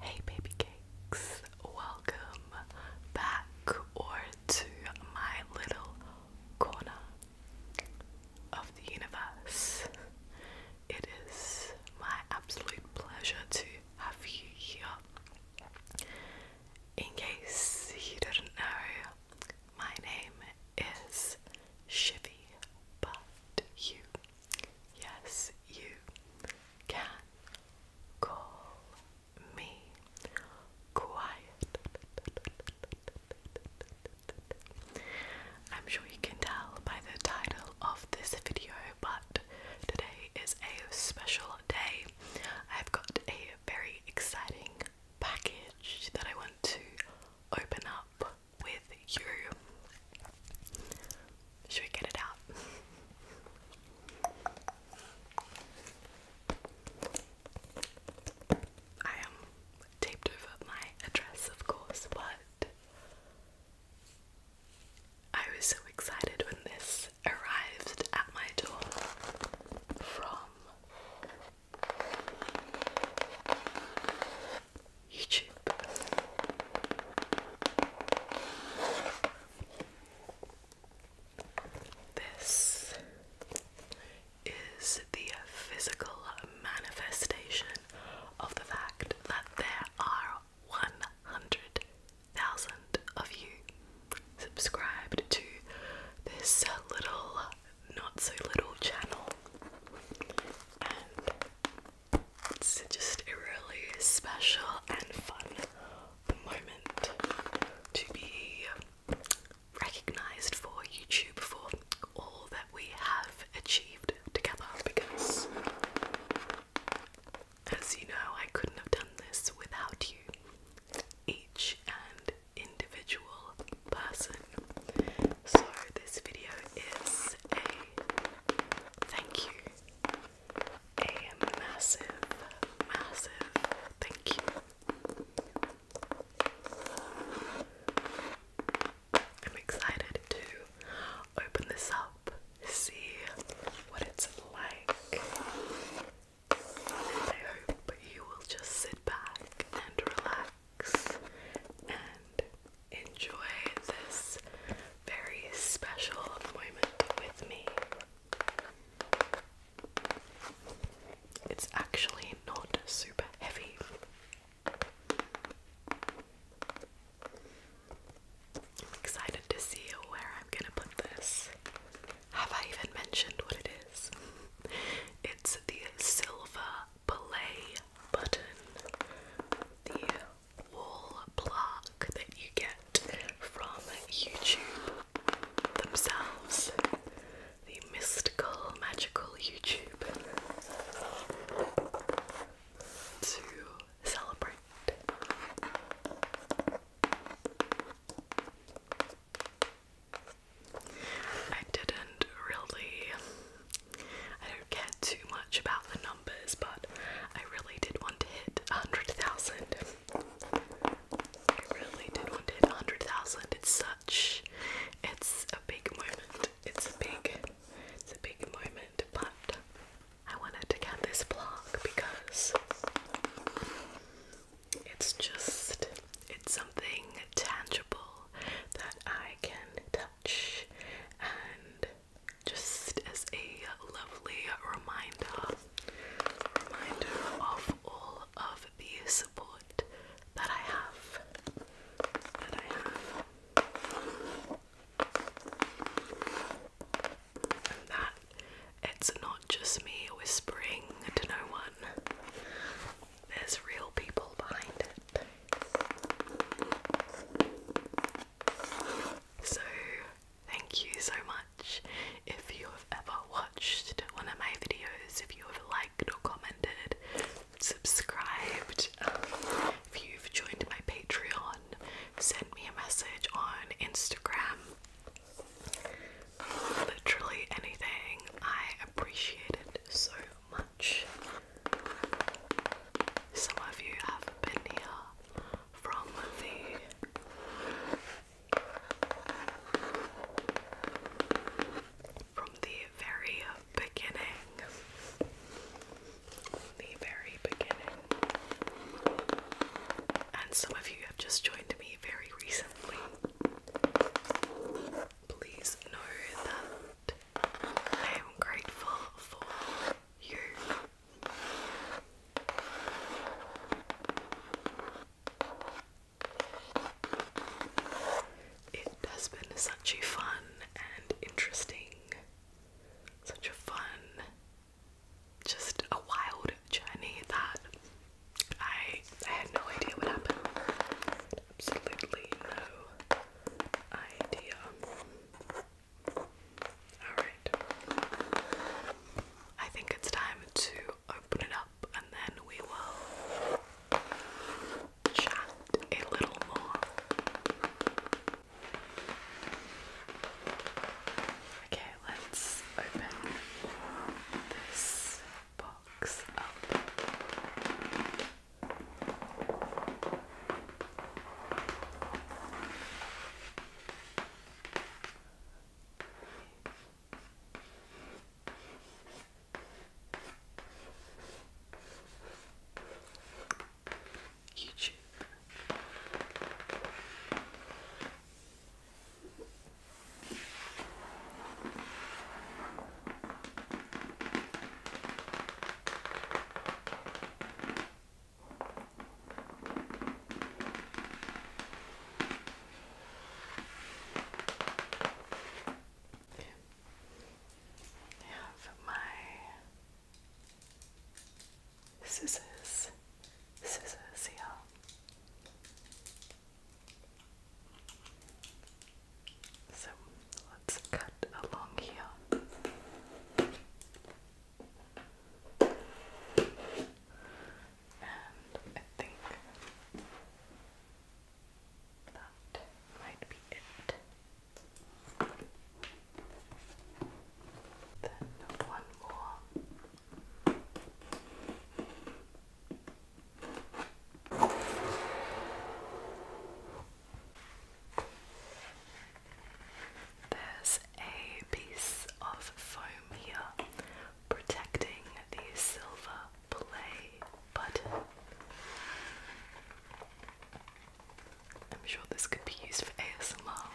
Hey, baby cakes, welcome back or to my little corner of the universe. It is my absolute pleasure to have you here. In case you didn't know, my name is Shivy, but you Yes, you can call me quiet. I'm sure you can tell by the title of this video, but today is a special day. I've got a very exciting package that I want to open up with you. Should we get it out? I am taped over my address, of course, but I was so excited when this arrived at my door from YouTube. This is the physical manifestation of the fact that there are 100,000 of you subscribed to this little, not so little channel. It's just a really special and fun moment to be recognized for YouTube for all that we have achieved together because, as you know, I couldn't have done this without you. Each and individual person so, this video is a thank you. A massive, massive thank you. I'm excited to open this up, see what it's like. I hope you will just sit back and relax and enjoy this very special moment with me. It's actually not super heavy. I'm excited to see where I'm gonna put this. Have I even mentioned what it is? it's the Silver play button, the wall plaque that you get from YouTube themselves, the mystical, magical YouTube, to celebrate. I didn't really I don't care too much about the numbers, but I really did want to hit 100,000. I really did want to hit 100,000. It's such, it's a big moment. It's a big, it's a big moment, but I wanted to get this vlog because it's just, it's something tangible that I can tell and just as a lovely reminder reminder of all of the support that I have that it's not just me whispering to no one. There's real people behind it. So, thank you so much if you have ever watched one of my videos, if you have liked or commented, subscribed, um, if you've joined my Patreon, sent me a message on Instagram. Literally anything. I appreciate it so much. Some of you have been here from the from the very beginning. The very beginning. And some of you have just joined me very recently. Please know that I am grateful for you. It has been such a fun and interesting, such a fun, just a wild journey that I, had no idea would happen. Absolutely no idea. Alright. I think it's time to open it up and then we will chat a little more. Okay, let's open this box up. YouTube. Okay. I my scissors, scissors here. So let's cut along here. And I think that might be it. Then one more. There's a piece of foam here protecting the silver play button. I'm sure this could be used for ASMR.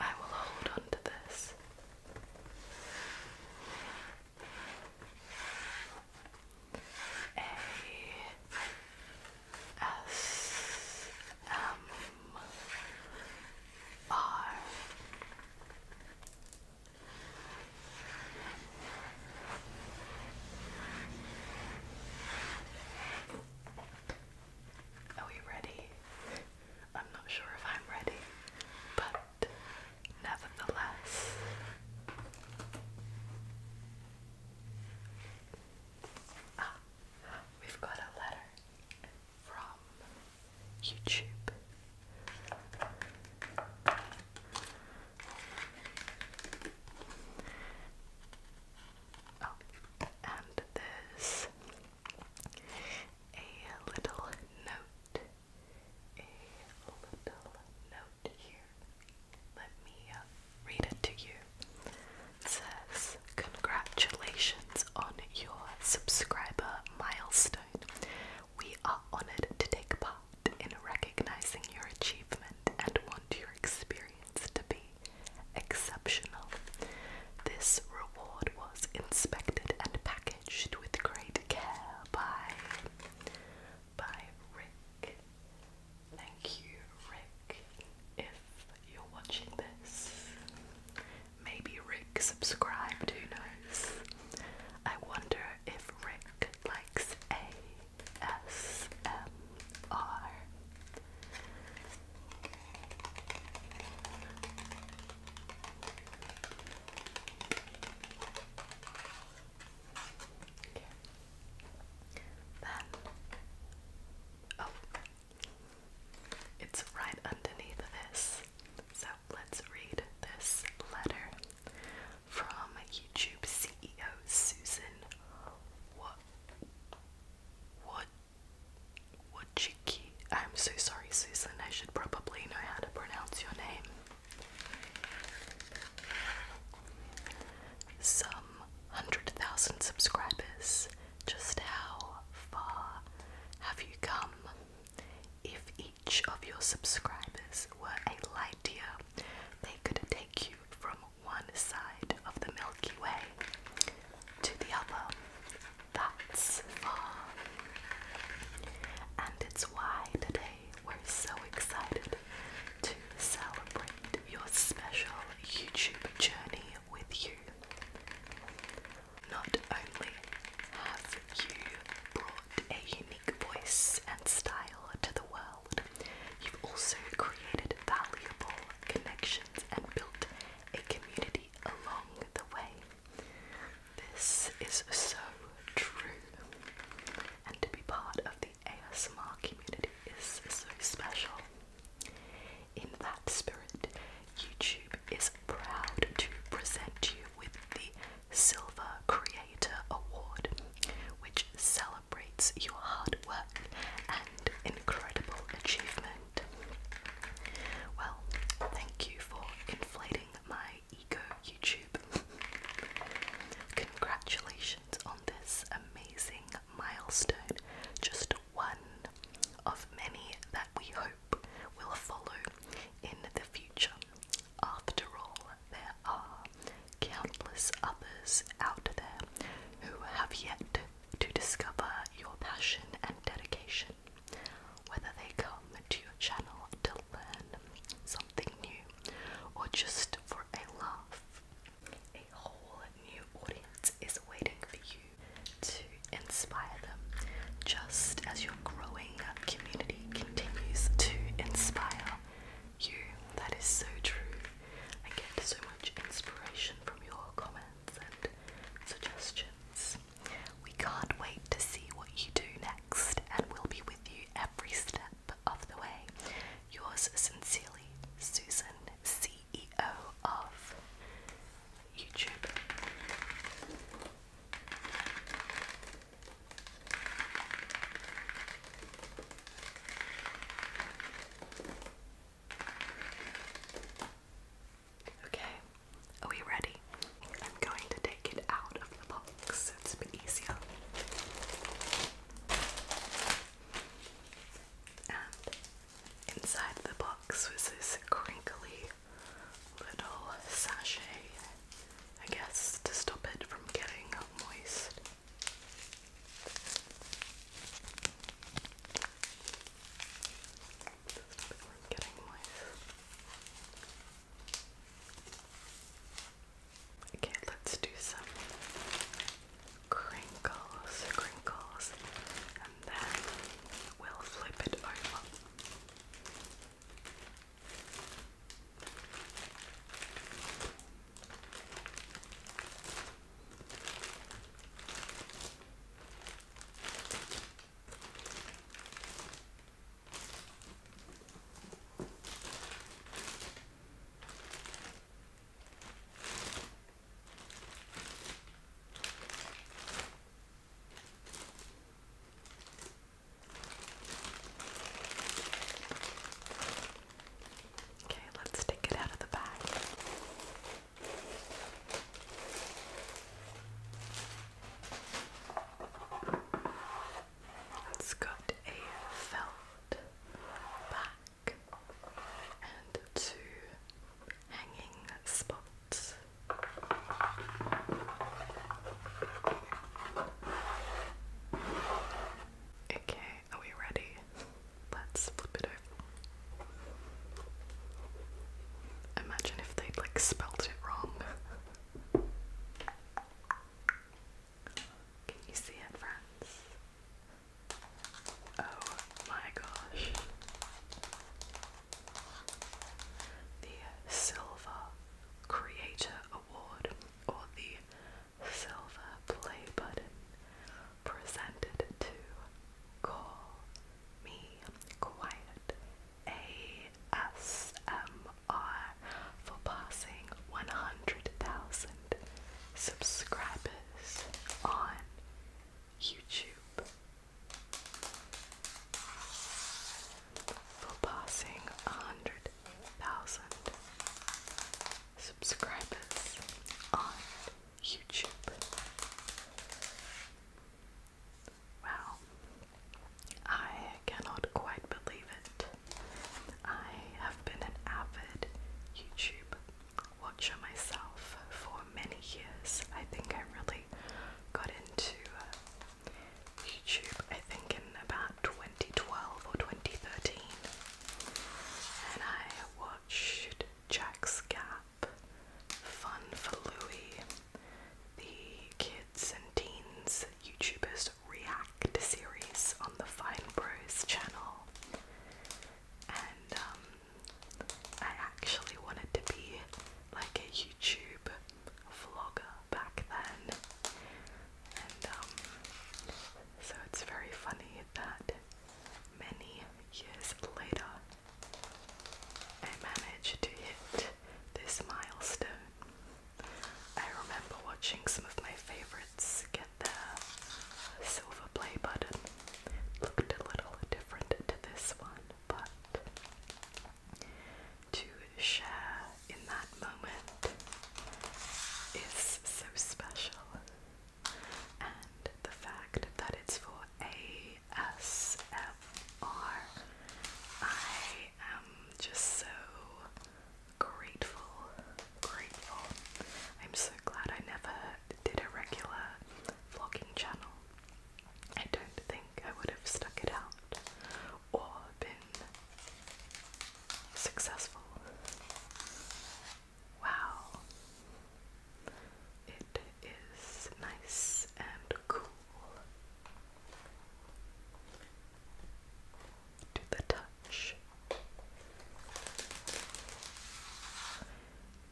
I will hold on this. A S M R are we ready? I'm not sure if I'm ready, but nevertheless. Ah, we've got a letter from YouTube. Oh, and there's a little note a little note here. Let me uh, read it to you. says, Congratulations on your subscriber milestone. We are honored to take part in recognizing your achievement and want your experience to be exceptional. This reward was inspected and packaged with great care by by Rick. Thank you, Rick. If you're watching this, maybe Rick subscribed, who knows? I wonder if Rick likes ASMR. Oh, it's right underneath this. So let's read this letter from YouTube CEO Susan What What Wojcicki. I'm so sorry, Susan. I should probably know how to pronounce your name. Some hundred thousand subscribers, just how far have you come? If each of your subscribers were a light year, they could take you from one side of the Milky Way to the other. That's far. And it's why today we're so excited to celebrate your special YouTube journey with you. Not only have you brought a unique voice and style to the world, you've also created valuable connections and built a community along the way. This is so true. And to be part of the ASMR community is so special. In that spirit, YouTube is proud to present you with the Silver Creator Award, which celebrates your hard work and incredible achievement. Well, thank you for inflating my Eco YouTube. Congratulations on this amazing milestone. Just one of many that we hope will follow in the future. After all, there are countless others out there who have yet to discover your passion and dedication. Whether they come to your channel to learn something new or just for a laugh. A whole new audience is waiting for you to inspire them, just as your growing community continues to inspire you. That is so true. I get so much inspiration from your comments and suggestions. We can't wait to see what you do next, and we'll be with you every step of the way. Yours sincerely, Susan, CEO of YouTube. Okay, are we ready? I'm going to take it out of the box so it's a bit easier. And inside the box was this crinkly little sachet, I guess, to stop it from getting moist. Stop it from getting moist. Okay, let's do some crinkles, crinkles, and then we'll flip it over. Okay, let's take it out of the bag. It's got a felt back and two hanging spots. Okay, are we ready? Let's flip it over. Imagine if they like spelt it wrong. Can you see it, friends? Oh my gosh. The Silver Creator Award or the Silver Play Button presented to Call me quiet ASMR for passing 100,000 subscribers on YouTube. For passing 100,000 subscribers on YouTube. Wow. I cannot quite believe it. I have been an avid YouTube watcher myself for many years. I think I really got into uh, YouTube, I think, in about 2012 or 2013. And I watched Jack's Gap, Fun for Louie, the kids and teens YouTubers react series on the Fine Bros channel, and um, I actually wanted to be like a YouTube vlogger back then, and um, so it's very funny that many years later I managed to hit this milestone. I remember watching some of my favorites get their silver play button. looked a little different to this one, but to share in that moment is so special. And the fact that it's for a ASMR. I am just so grateful, grateful. I'm so glad I never did a regular vlogging channel. I don't think I would have stuck it out or been successful. Wow is nice and cool to the touch.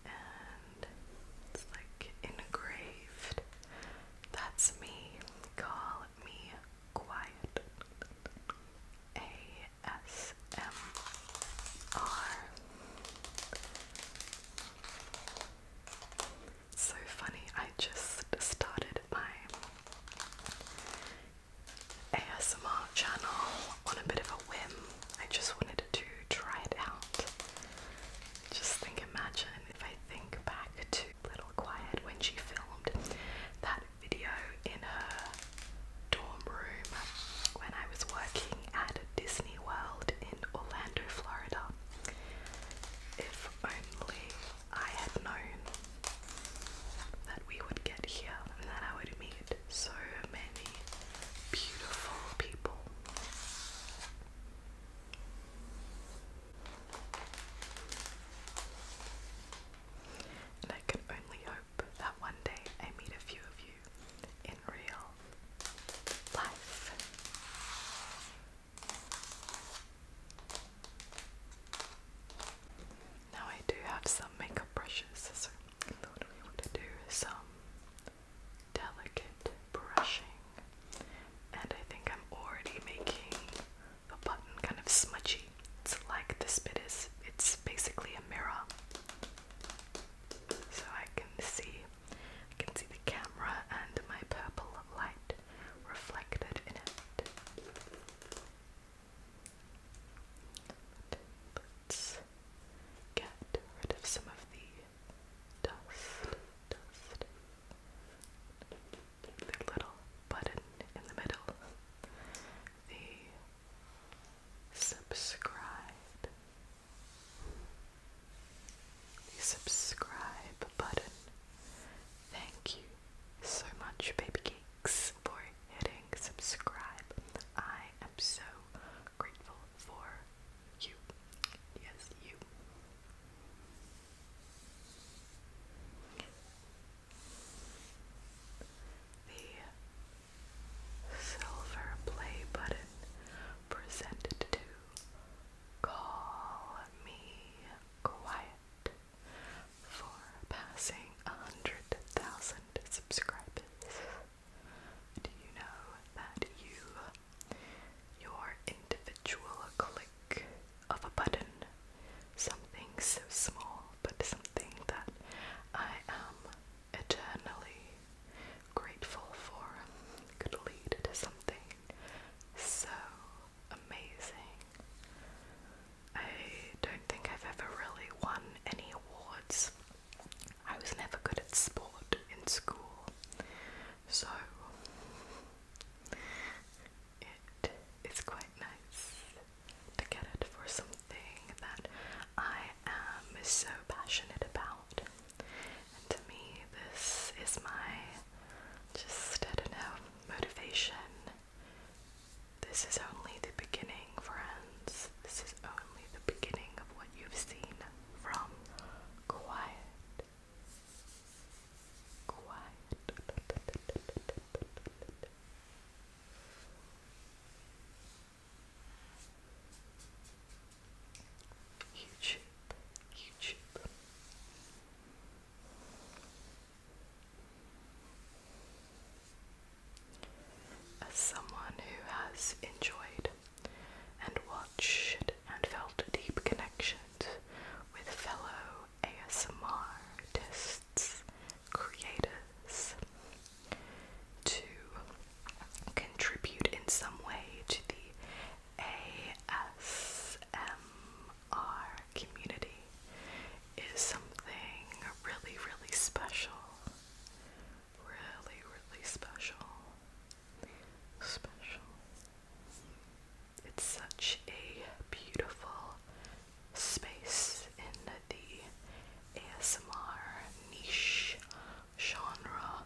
And it's like engraved. That's me. Call me quiet. ASMR so funny, I just started my ASMR channel on a bit of a whim. I just wanted to try it out. Just think, imagine if I think back to Little Quiet when she filmed that video in her dorm room when I was working at Disney World in Orlando, Florida. If only I had known that we would get here and that I would meet so many beautiful people. And I can only hope that one day I meet a few of you in real now I do have some makeup brushes, so I thought we would do some delicate brushing. And I think I'm already making the button kind of smudgy. It's like this bit is, it's basically a mirror. So I can see I can see the camera and my purple light reflected in it. Let's get rid of some of the Dust. The little button in the middle. The subscribe the subscribe button. Thank you so much, Baby Geeks, for hitting subscribe. I am so grateful for you. Yes, you. The silver play button presented to Call me quiet for passing a hundred thousand subscribers. Do you know that you, your individual click of a button, something so small, but something that I am eternally grateful for could lead to something so amazing. I don't think I've ever really won any awards. I was never good at sport in school, so it is quite nice to get it for something that I am so passionate about to me, this is my just, I don't know, motivation. This is only the beginning, friends. This is only the beginning of what you've seen from Quiet. Quiet. YouTube, YouTube. As someone who has enjoyed and watched and felt deep connection with fellow ASMR creators, to contribute in some way to the ASMR community is something really, really special. Really, really special. Special. It's such a beautiful space in the ASMR niche genre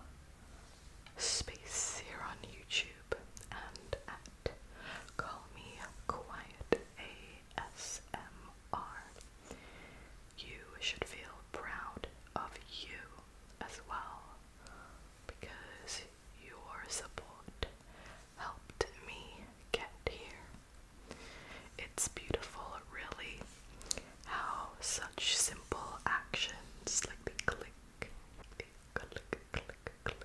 space here on YouTube and at Call Me Quiet ASMR. You should feel proud of you as well because your support helped me get here. It's beautiful, really how such simple actions like the click, click, click, click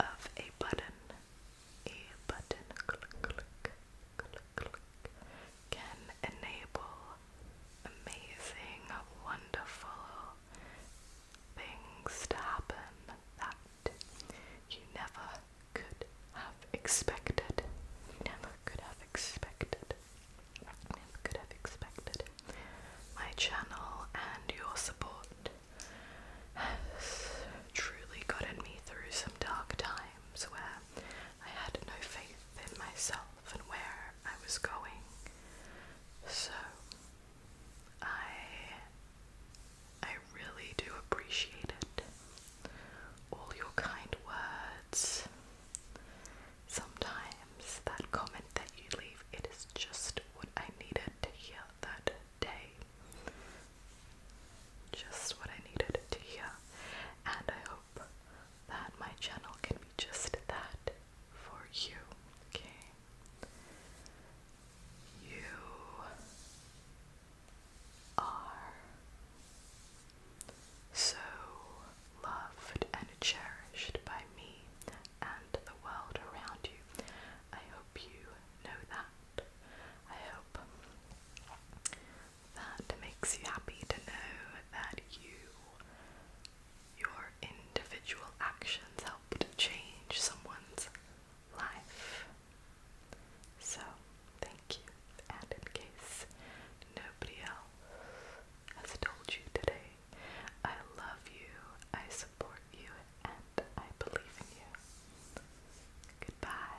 of a button, a button, click, click, click, click, can enable amazing, wonderful things to happen that you never could have expected. You never could have expected. Never could have expected my channel and your support has truly gotten me through some dark times where I had no faith in myself and where I was going. So I I really do appreciate it. All your kind words Sometimes that comment that you leave, it is just what I needed to hear that day. Just what I needed to hear. And I hope that my channel can be just that for you. Okay? You are so loved and cherished by me and the world around you. I hope you know that. I hope that makes you happy to know that you your individual actions helped change someone's life. So thank you. And in case nobody else has told you today, I love you, I support you, and I believe in you. Goodbye.